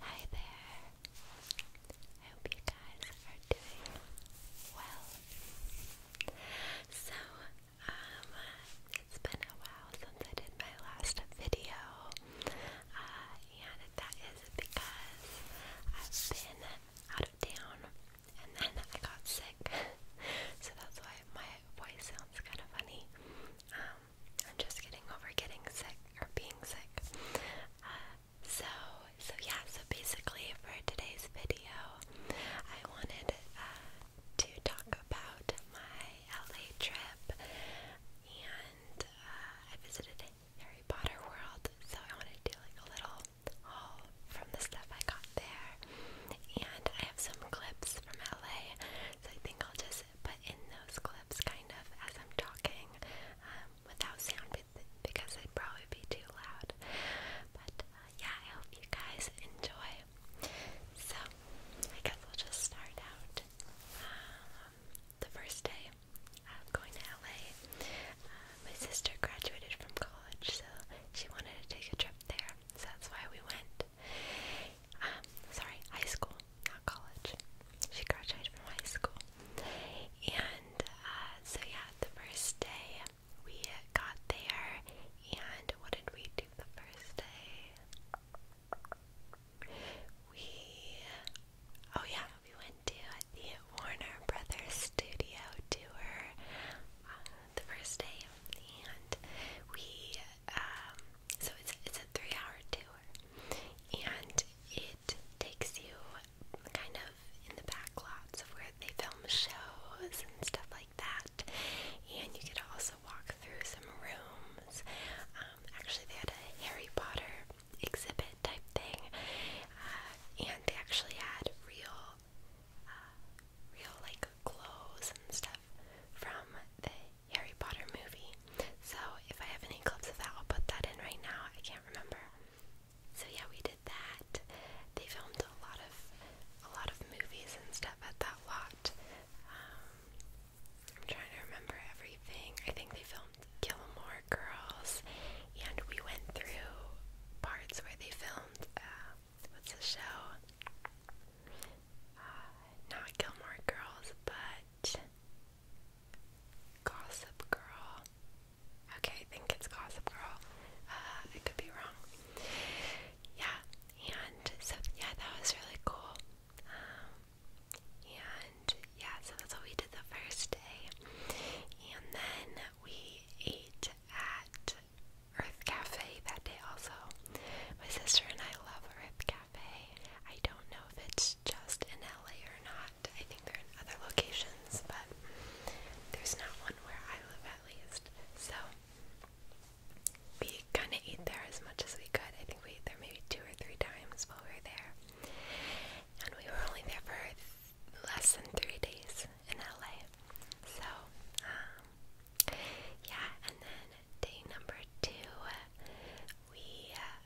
Hi there. I hope you guys are doing well. So, um, it's been a while since I did my last video, uh, and that is because I've been out of town and then I got sick, so that's why my voice sounds kind of funny. Um, I'm just getting over getting sick or being sick. Uh, so, so yeah, so basically for today's video, I wanted uh, to talk about my LA trip and uh, I visited Harry Potter World, so I wanted to do like a little haul from the stuff I got there. And I have some clips from LA, so I think I'll just but in those clips, kind of as I'm talking, um, without sound because it'd probably be too loud. But uh, yeah, I hope you guys enjoy. So I guess we'll just start out. Um, the first day of going to LA, uh, my sister graduated from college, so she wanted to take a trip there, so that's why we went. Um, sorry, high school, not college. She graduated from high school. And uh, so, yeah, the first day we got there, and what did we do the first day? We, oh, yeah, we went to the Warner Brothers studio tour uh, the first day, and we, um, so it's, it's a three hour tour and it takes you kind of in the back lots of where they film shows and stuff like that. And you could also walk through some rooms. Um, actually, they had a Harry Potter exhibit type thing, uh, and they actually had real, uh, real like clothes and stuff from the Harry Potter movie. So if I have any clips of that, I'll put that in right now. I can't remember. So yeah, we did that. They filmed a lot of a lot of movies and stuff at that lot. Um, I'm trying to remember everything. I think they filmed Gilmore Girls, and we went through parts where they filmed uh, what's the show? Uh, not Gilmore Girls, but Gossip Girl. Okay, I think it's Gossip Girl. Uh, could be wrong. Yeah, and so yeah, that was really cool. Um, and yeah, so that's what we did the first day, and then we ate at Earth Cafe that day also. My sister and I love Earth Cafe. Cafe. I don't know if it's just in LA or not. I think they're in other locations, but there's not one where I live at least. So we kind of ate there as much as we could. I think we ate there maybe two or three times while we were there. And we were only there for th less than three days in LA. So, um, yeah, and then day number two, we uh,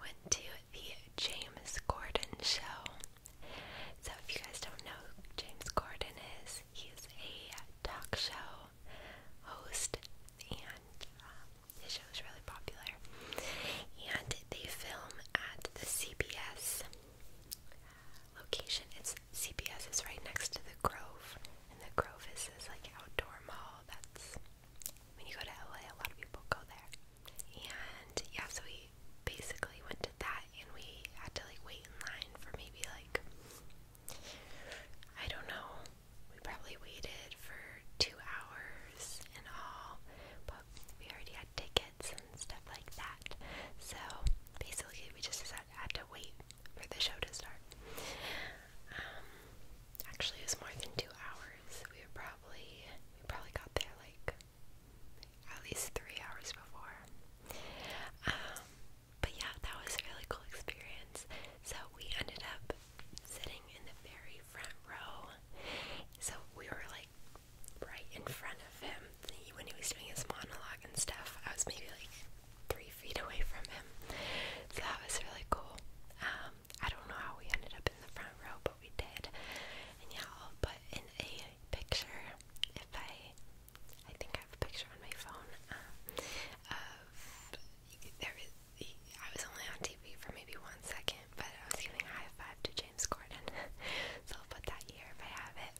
went to the James Corden show. So, if you guys don't know who James Corden is, he is a talk show host, and um, his show is really popular. And they film at the CBS location. It's CBS is right next to the Grove, and the Grove is this like outdoor mall that's when you go to LA, a lot of people go there. And yeah, so we basically went to that and we had to like wait in line for maybe like, I don't know, we probably waited for two hours and all, but we already had tickets and stuff like that. So basically, we just had to wait for the show to start. Um, Actually, it was more than two hours. We were probably we probably got there like at least three hours before. Um, but yeah, that was a really cool experience. So we ended up sitting in the very front row. So we were like right in front of him when he was doing his monologue and stuff. I was maybe like three feet away from him. So that was really cool. Um, I don't know how we ended up in the front row, but we did. And yeah, I'll put in a picture if I, I think I have a picture on my phone um, of there is. I was only on TV for maybe one second, but I was giving high five to James Corden, so I'll put that here if I have it.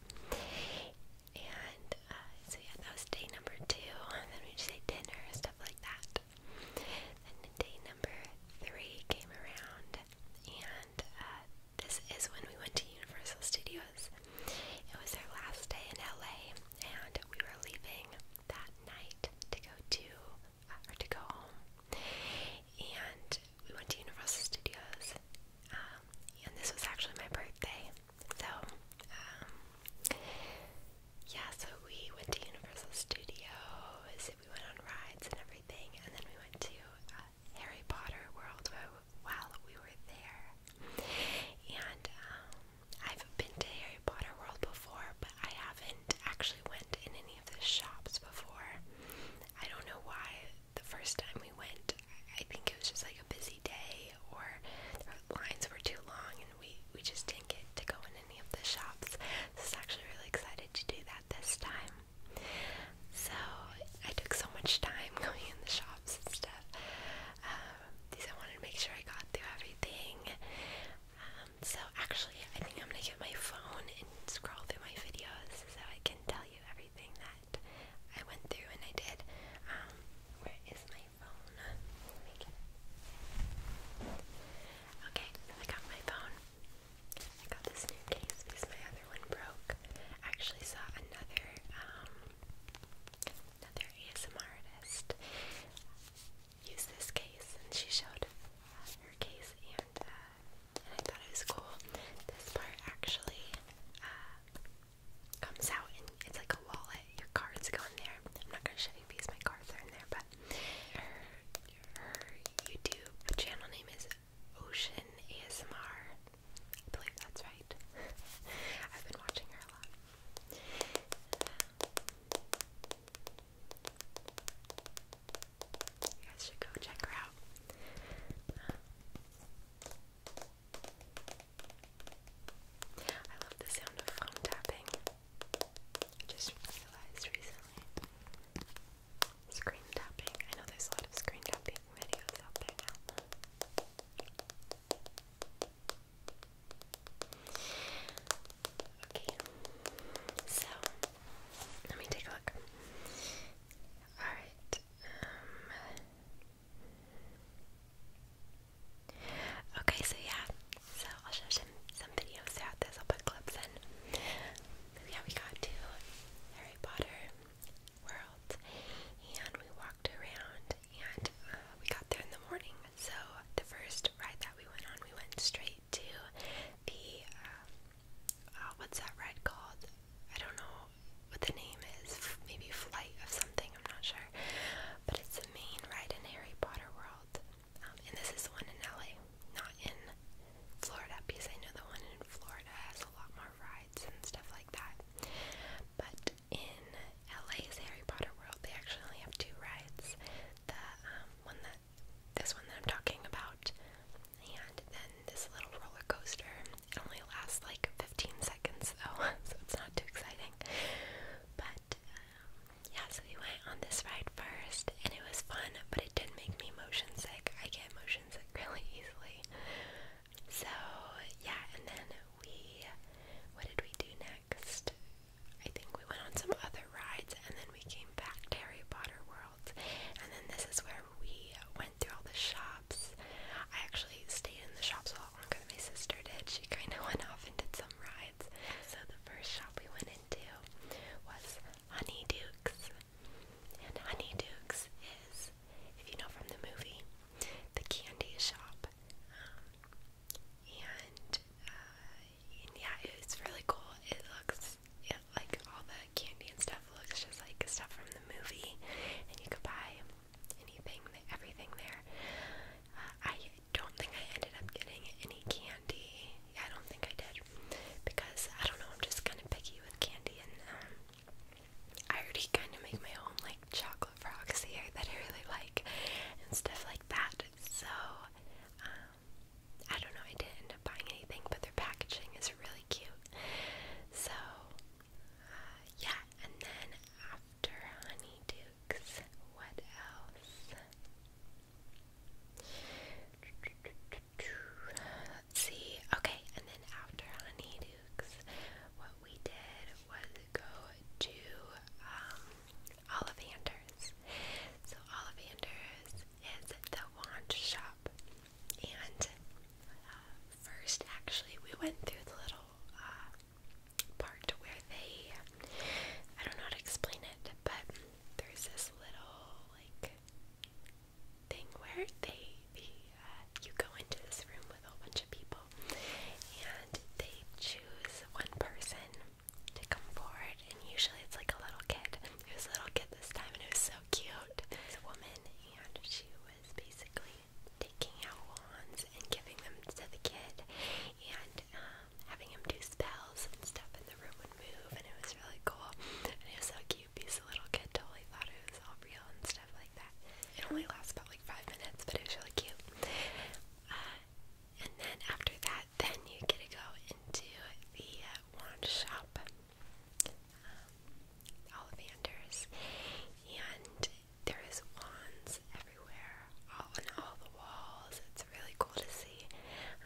And uh, so yeah, that was day number two, and then we just ate dinner and stuff like that day number three came around, and uh, this is when we went to Universal Studios. It was our last day in LA, and we were leaving that night to go to uh, or to go home. And we went to Universal Studios, um, and this was actually my birthday. So um, yeah, so we went to Universal Studios, we went on rides and everything, and then we went to uh, Harry Potter World while we were there. And um, I've been to Harry Potter World before, but I haven't actually went in any of the shops before. I don't know why the first time we went, I think it was just like a busy day, or the lines were too long, and we we just didn't get to go in any of the shops. So I was actually really excited to do that this time. So I took so much time going in the shops and stuff. Um, because I wanted to make sure I got through everything. Um, so actually, I think I'm gonna get my phone and scroll through my videos so I can tell you everything that I went through and I did. Um, where is my phone? Let me get it. Okay, I got my phone. I got this new case because my other one broke. actually saw another um another ASMR artist use this case and she showed uh, her case uh, and I thought it was cool. This part actually uh, comes out and it's like a wallet. Your cards go in there. I'm not gonna show you because my cards are in there, but her YouTube channel name is Ocean ASMR. I believe that's right. I've been watching her a lot. You guys should go check her out. I love the sound of phone tapping. I just realized recently. Screen tapping. I know there's a lot of screen tapping videos out there now. Okay, so let me take a look. Alright, um, Okay, so yeah, so I'll show some some videos throughout this. I'll put clips in. Yeah, we got to Harry Potter World, and we walked around, and uh, we got there in the morning. So the first ride that we went on, we went straight to the uh, uh, what's that ride called? I don't know what the name is. Maybe Flight of something. I'm not sure. But it's the main ride in Harry Potter World. Um, and this is the one in LA, not in Florida, because I know the one in Florida has a lot more rides and stuff like that. But in LA's Harry Potter World, they actually only have two rides. The um, one that this one that I'm talking about, and then this little roller coaster. It only lasts like 15 seconds though, so it's not too exciting. But um, yeah, so we went on this ride first, and it was fun, but it did make me motion sick. I get motion sick really easily. So, yeah, and then we, what did we do next? I think we went on some other rides, and then we came back to Harry Potter World, and then this is where we went through all the shops. I actually stayed in the shops a lot longer than my sister did. She kind of went off and did some rides. So the first shop we went into was Honeydukes. And Honeydukes is, if you know from the movie, the candy shop. Um, and, uh, and yeah, it's really cool. It looks it, like all the candy and stuff looks just like stuff from the movie, and you could buy anything, everything there. Uh, I don't think I ended up getting any candy. Yeah, I don't think I did because I don't know, I'm just kind of picky with candy, and um, I already kind of make my own like chocolate frogs here that I really like and stuff like that. So um, I don't know, I didn't end up buying anything, but their packaging is really cute. So uh, yeah, and then after Honey Dukes, what else? Let's see. Okay, and then after Honeydukes, what we did was go to um, Ollivander's. So Ollivander's is the wand shop, and uh, first actually we went through the little uh, part where they—I don't know how to explain it—but there's this little like thing where they, the, uh, you go into this room with a bunch of people and they choose one person to come forward and usually it's like a little kid. It was a little kid this time and it was so cute. It's a woman and she was basically taking out wands and giving them to the kid and um, having him do spells and stuff, and the room would move, and it was really cool. And it was so cute because the little kid totally thought it was all real and stuff like that. It only lasts about like five minutes, but it was really cute. Uh, and then after that, then you get to go into the uh, wand shop, um, Ollivander's, and there is wands everywhere, all on all the walls. It's really cool to see.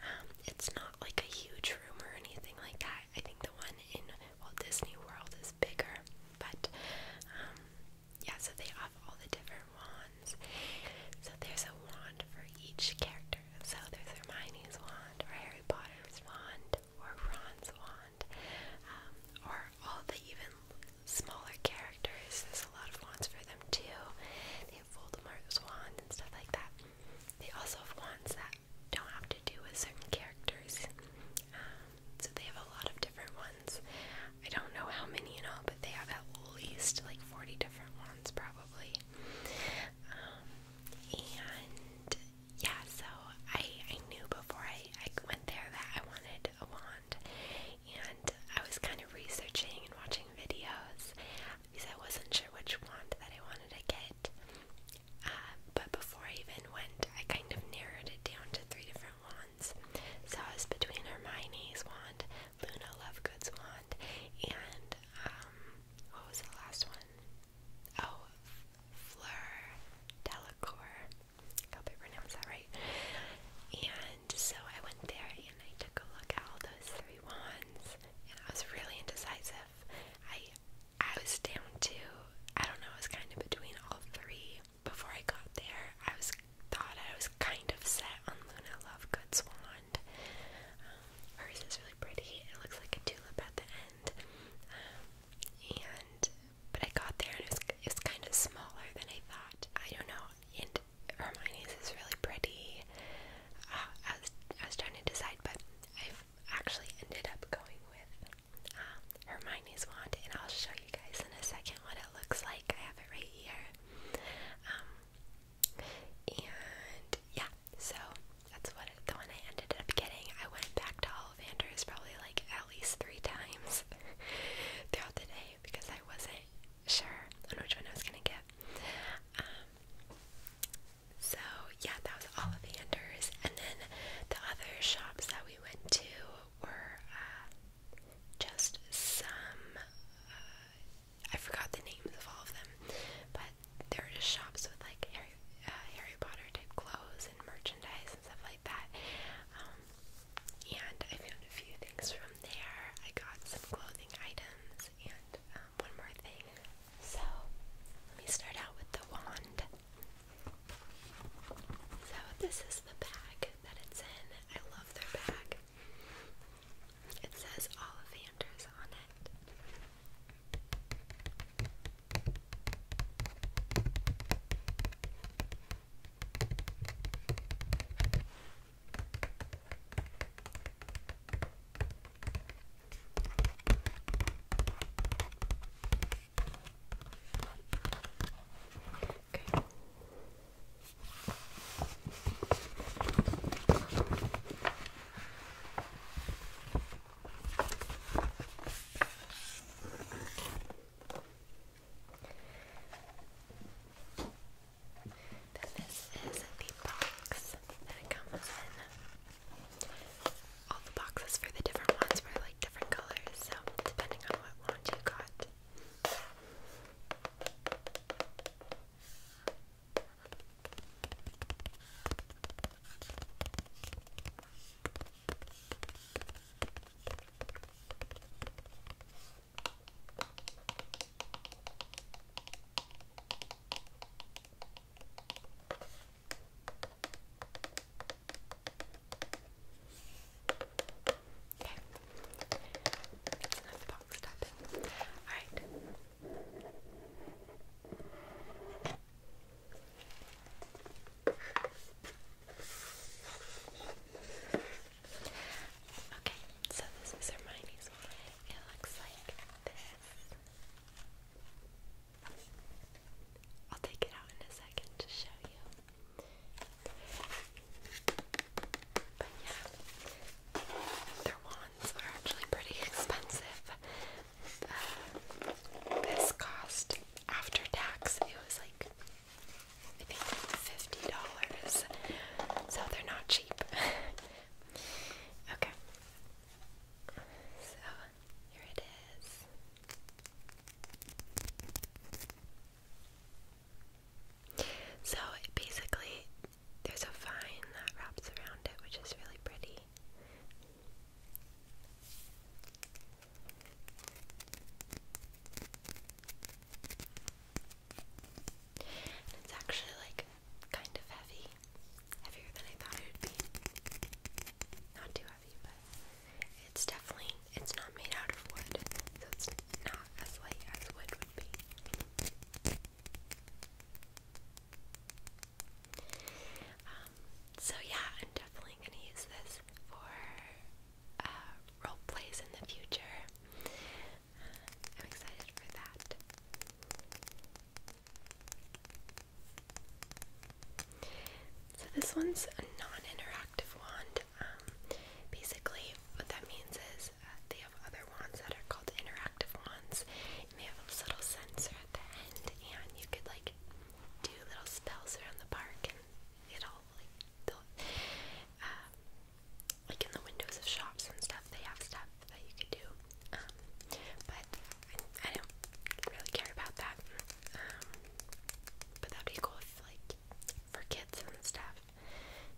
Um, it's not like a huge room or anything like that. I think the one in Walt Disney World is bigger, but um, yeah, so they have all the different wands. So there's a wand for each character. So there's Hermione's wand, or Harry Potter's wand, or Ron's wand, um, or all the even smaller characters. There's a lot of wands for them too. They Voldemort was wands and stuff like that. They also have wands that don't have to do with certain characters. Um, so they have a lot of different ones. I don't know how many in all, but they have at least like 40 different ones probably. Um, and yeah, so I, I knew before I, I went there that I wanted a wand. And I was kind of researching and watching videos because I wasn't sure which wand that I wanted to get. Uh, but before I even went, I kind of narrowed it down to three different wands. So I was between Hermione's wand, Luna Lovegood's wand, and um, what was the last one? Oh, Fleur Delacour. I hope I pronounced that right. And so I went there and I took a look at all those three wands and I was really indecisive. I I was down to I don't know, I was kind of between all three. Before I got there, I was thought I was kind of set on Luna Lovegood's wand. Um, hers is really pretty. It looks like a tulip at the end. Um, and but I got there and it was, it was kind of smaller than I thought. I don't know. And Hermione's is really pretty. I was I was trying to decide, but i actually ended up going with uh, Hermione's wand, and I'll show you guys in a second what it looks like. I have it right here, um, and yeah, so that's what the one I ended up getting. I went back to Ollivander's probably like at least three times throughout the day because I wasn't sure on which one I was gonna get. Um, so yeah, that was Ollivanders, and then the other shops that we went to were uh, just some. Uh, I forgot the names of all of them, but they were just shops with like Harry, uh, Harry Potter type clothes and merchandise and stuff like that. Um, and I found a few things from there. I got some clothing items and uh, um, one more thing. So, let me start out with the wand. So, this is the bag that it's in. I love their bag. It says Ollivanders on it. Okay. Then this is the box that comes in all the boxes for the different ones were like different colors, so depending on what one you got. Okay. That's enough box tapping. Alright. Okay, so this is Hermione's one. It looks like this. I'll take it out in a second to show you. But yeah, their wands are actually pretty expensive. Uh, this cost after tax, it was like I think fifty dollars. So they're not cheap. okay, so here it is. So basically, there's a vine that wraps around it, which is really pretty. it's actually like kind of heavy, heavier than I thought it would be. Not too heavy, but it's definitely it's not made out of wood, so it's not as light as wood would be. Um, so yeah, I'm definitely gonna use this for uh, role plays in the future. I'm excited for that. So this one's a non-interactive wand. Um, basically, what that means is uh, they have other wands that are called interactive wands, and they have a little sensor at the end, and you could like do little spells around the park, and it'll uh, like in the windows of shops and stuff, they have stuff stuff that you could do. Um, but I, I don't really care about that. Um, but that'd be cool if, like, for kids and stuff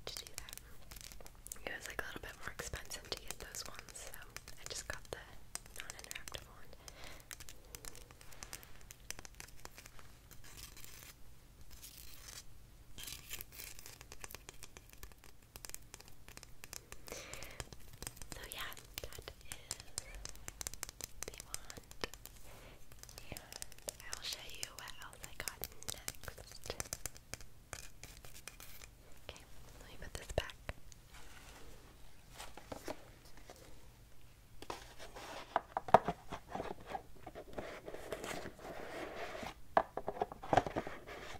to do that. It was like a little bit more expensive to get those ones, so I just got the non-interactive one. So yeah, that is the wand. And I'll show you what else I got next. Okay, let me put this back.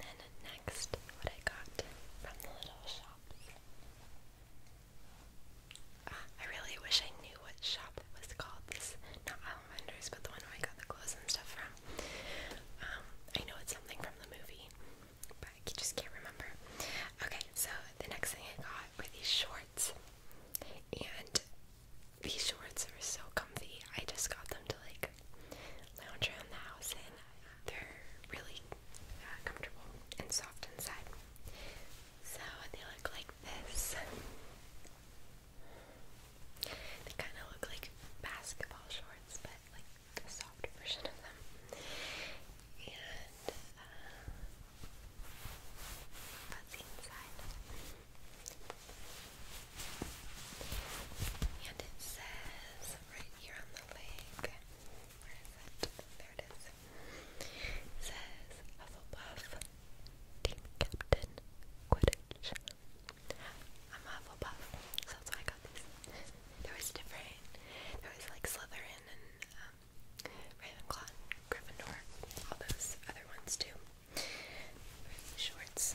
And then next, what I got from the little shops. Ah, I really wish I knew what shop it was called. This, not Alamanders, but the one where I got the clothes and stuff from. Um, I know it's something from the movie, but I just can't remember. Okay, so the next thing I got were these shorts. And these shorts are so comfy. I just got them to like lounge around the house and They're really uh, comfortable and soft inside. So they look like this. They kind of look like basketball shorts, but like a softer version of them. And uh, and it says right here on the leg, where is it? There it is. says Hufflepuff, Team Captain, Quidditch. I'm Hufflepuff, so that's why I got these. There was different, there was like Slytherin and um, Ravenclaw, Gryffindor, all those other ones too shorts.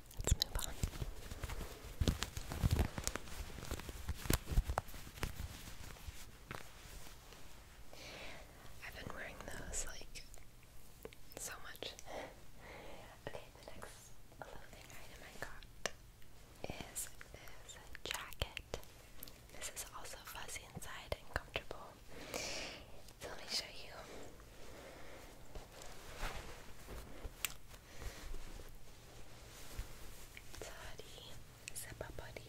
Let's move on. I've been wearing those like so much. okay, the next clothing item I got is this jacket. This is also fuzzy inside and comfortable. So let me show you. Sorry, c'est pas body.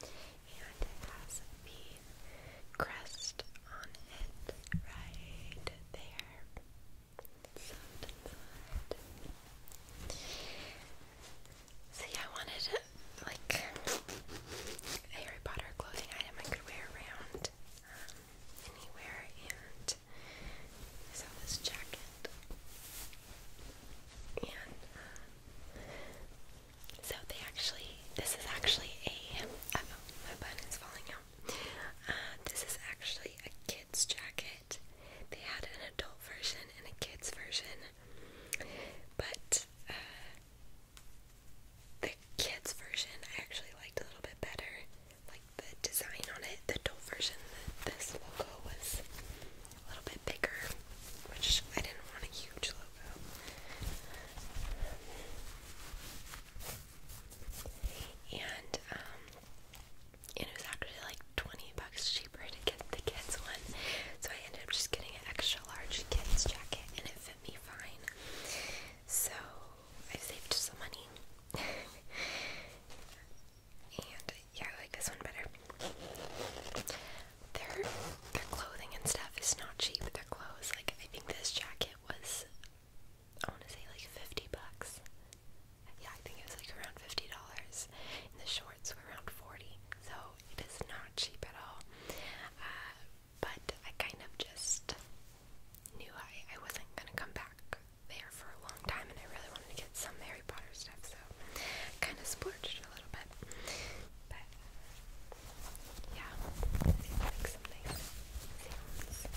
And it has the crest on it right there. Soft I wanted like a Harry Potter clothing item I could wear around. Um, anywhere, and I saw this jacket, and uh, so they actually, this is actually a, oh, my button is falling out, uh, this is actually a kid's jacket, they had an adult version and a kid's version, but, uh, the kids version I actually liked a little bit better like the design on it, the adult version, the, this logo was a little bit bigger, which I didn't want a huge logo. Um, and it was actually like 20 bucks cheaper to get the kids one. So I ended up just getting an extra large kids jacket and it fit me fine. So I saved some money and yeah, I like this one better. Their their clothing and stuff is not cheap. Their clothes, like I think this jacket was, I want to say like fifty bucks. Yeah, I think it was like around fifty dollars, and the shorts were around forty. So it is not cheap at all. Uh, but I kind of just knew I, I wasn't gonna come back there for a long time and I really wanted to get some Harry Potter stuff, so I kinda splurged a little bit. But yeah, they like some nice sounds.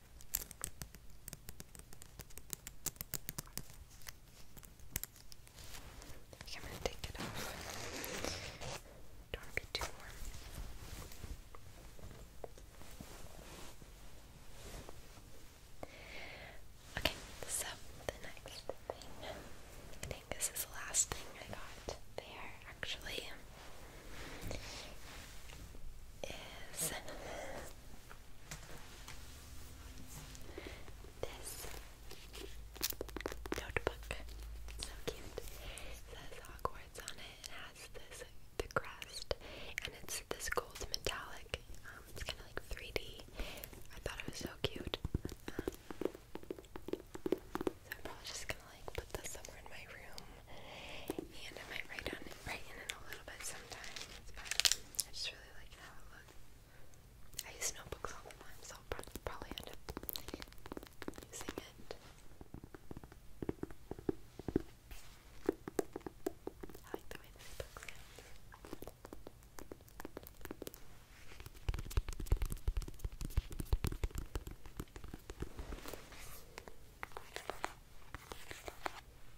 I think am gonna take it off. Don't be too warm. Okay, so the next thing, I think this is the last thing I got there actually, is this notebook, so cute. says Hogwarts on it. It has this the crest, and it's this gold metallic. Um, it's kind of like 3D. I thought it was so cute. Um, so I'm probably just gonna like put this somewhere in my room and I might write on it, write in it a little bit sometimes, but I just really like how it looks. I use notebooks all the time, so I'll probably end up using it. I like the way this book sounds.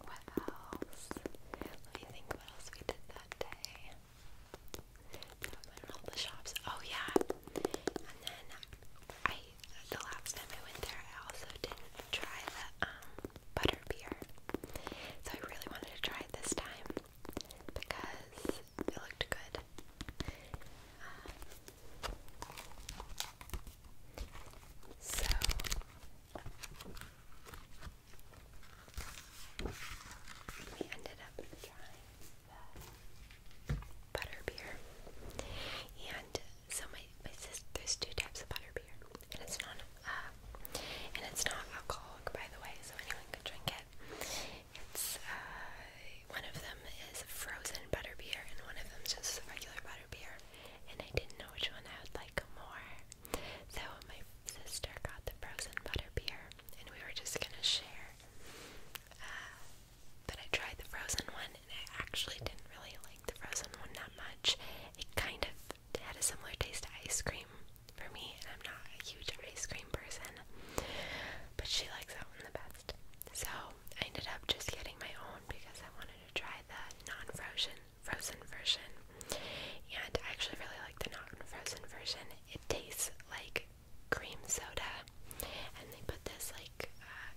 What else? Let me think what else we did that day. That was in all the shops. Oh yeah. And then I the last time I went there I also didn't try the um, butter beer. So I really wanted to try it this time because it looked good. Um, so we ended up trying the butterbeer. And so my, my sister, there's two types of butterbeer. And it's not uh, and it's not alcoholic by the way, so anyone can drink it. It's uh, one of them is frozen butterbeer and one of them is just regular butterbeer. And I didn't know which one I would like more. So my sister got the frozen butter beer, and we were just gonna share. Uh, but I tried the frozen one, and I actually didn't really like the frozen one that much. It kind of had a similar taste to ice cream for me, and I'm not a huge ice cream person. But she likes that one the best. So I ended up just getting my own because I wanted to try the non-frozen frozen version. And I actually really like the non frozen version. It tastes like cream soda. And they put this like uh,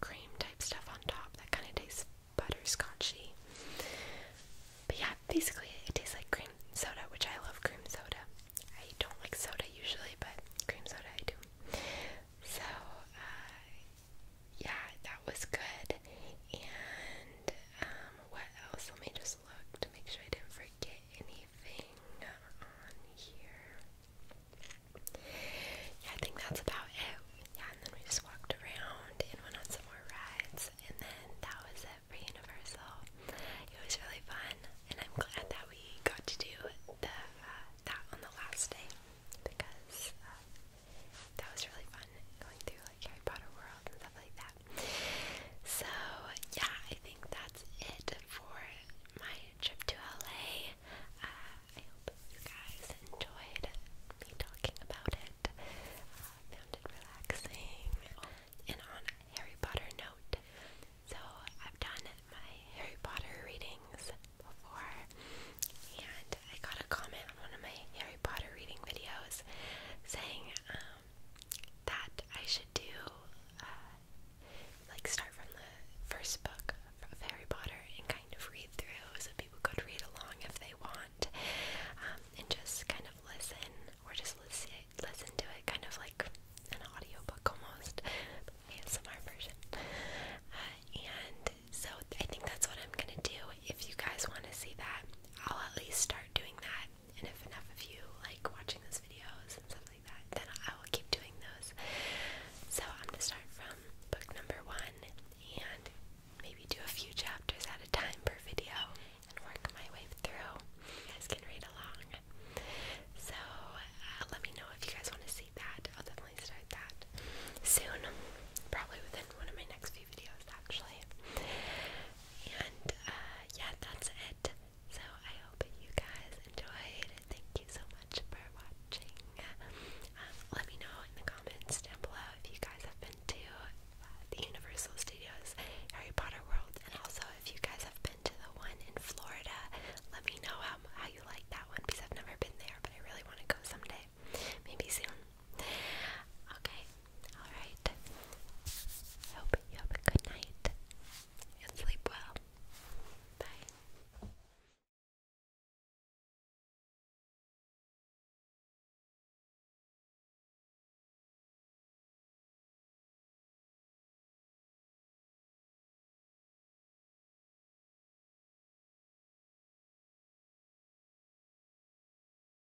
cream type stuff on top that kind of tastes butterscotchy. But yeah, basically it tastes like cream soda, which I love cream soda. I don't like soda usually, but cream soda I do. So, uh, yeah, that was good. And, um, what else? Let me just look to make sure I didn't forget anything on here. Yeah, I think that's about it. Yeah, and then we just walked around and went on some more rides, and then that was it for Universal. It was really fun, and I'm glad that we got to do the uh, that on the last day because uh, that was really fun going through like Harry Potter World and stuff like that. So yeah, I think that's it for my trip to LA. Uh, I hope you guys enjoyed me talking about it. Uh, found it relaxing. And on Harry Potter note, so I've done my Harry Potter readings before, and I got a comment on one of my Harry Potter reading videos saying um, that I should do, uh, like start from the first book of Harry Potter and kind of read through so people could read along if they want, um, and just kind of listen or just listen listen to it kind of like an audiobook almost, ASMR version. Uh, and so I think that's what I'm gonna do. If you guys want to see that, I'll at least start doing that. And if enough of you like watching those videos and stuff like that, then I will keep doing those. So I'm gonna start from book number one and maybe do a few chapters at a time per video and work my way through. You guys can read along. So uh, let me know if you guys want to see that. I'll definitely start that soon. Probably within one of my next few videos, actually. And uh, yeah, that's it. So I hope you guys enjoyed. Thank you so much for watching. Um, let me know in the comments down below if you guys have been to uh, the Universal Studios Harry Potter World, and also if you guys have been to the one in Florida. Let me know how how you like that one because I've never been there, but I really want to go someday. Maybe soon. Okay, alright. Hope you have a good night and sleep well. Bye.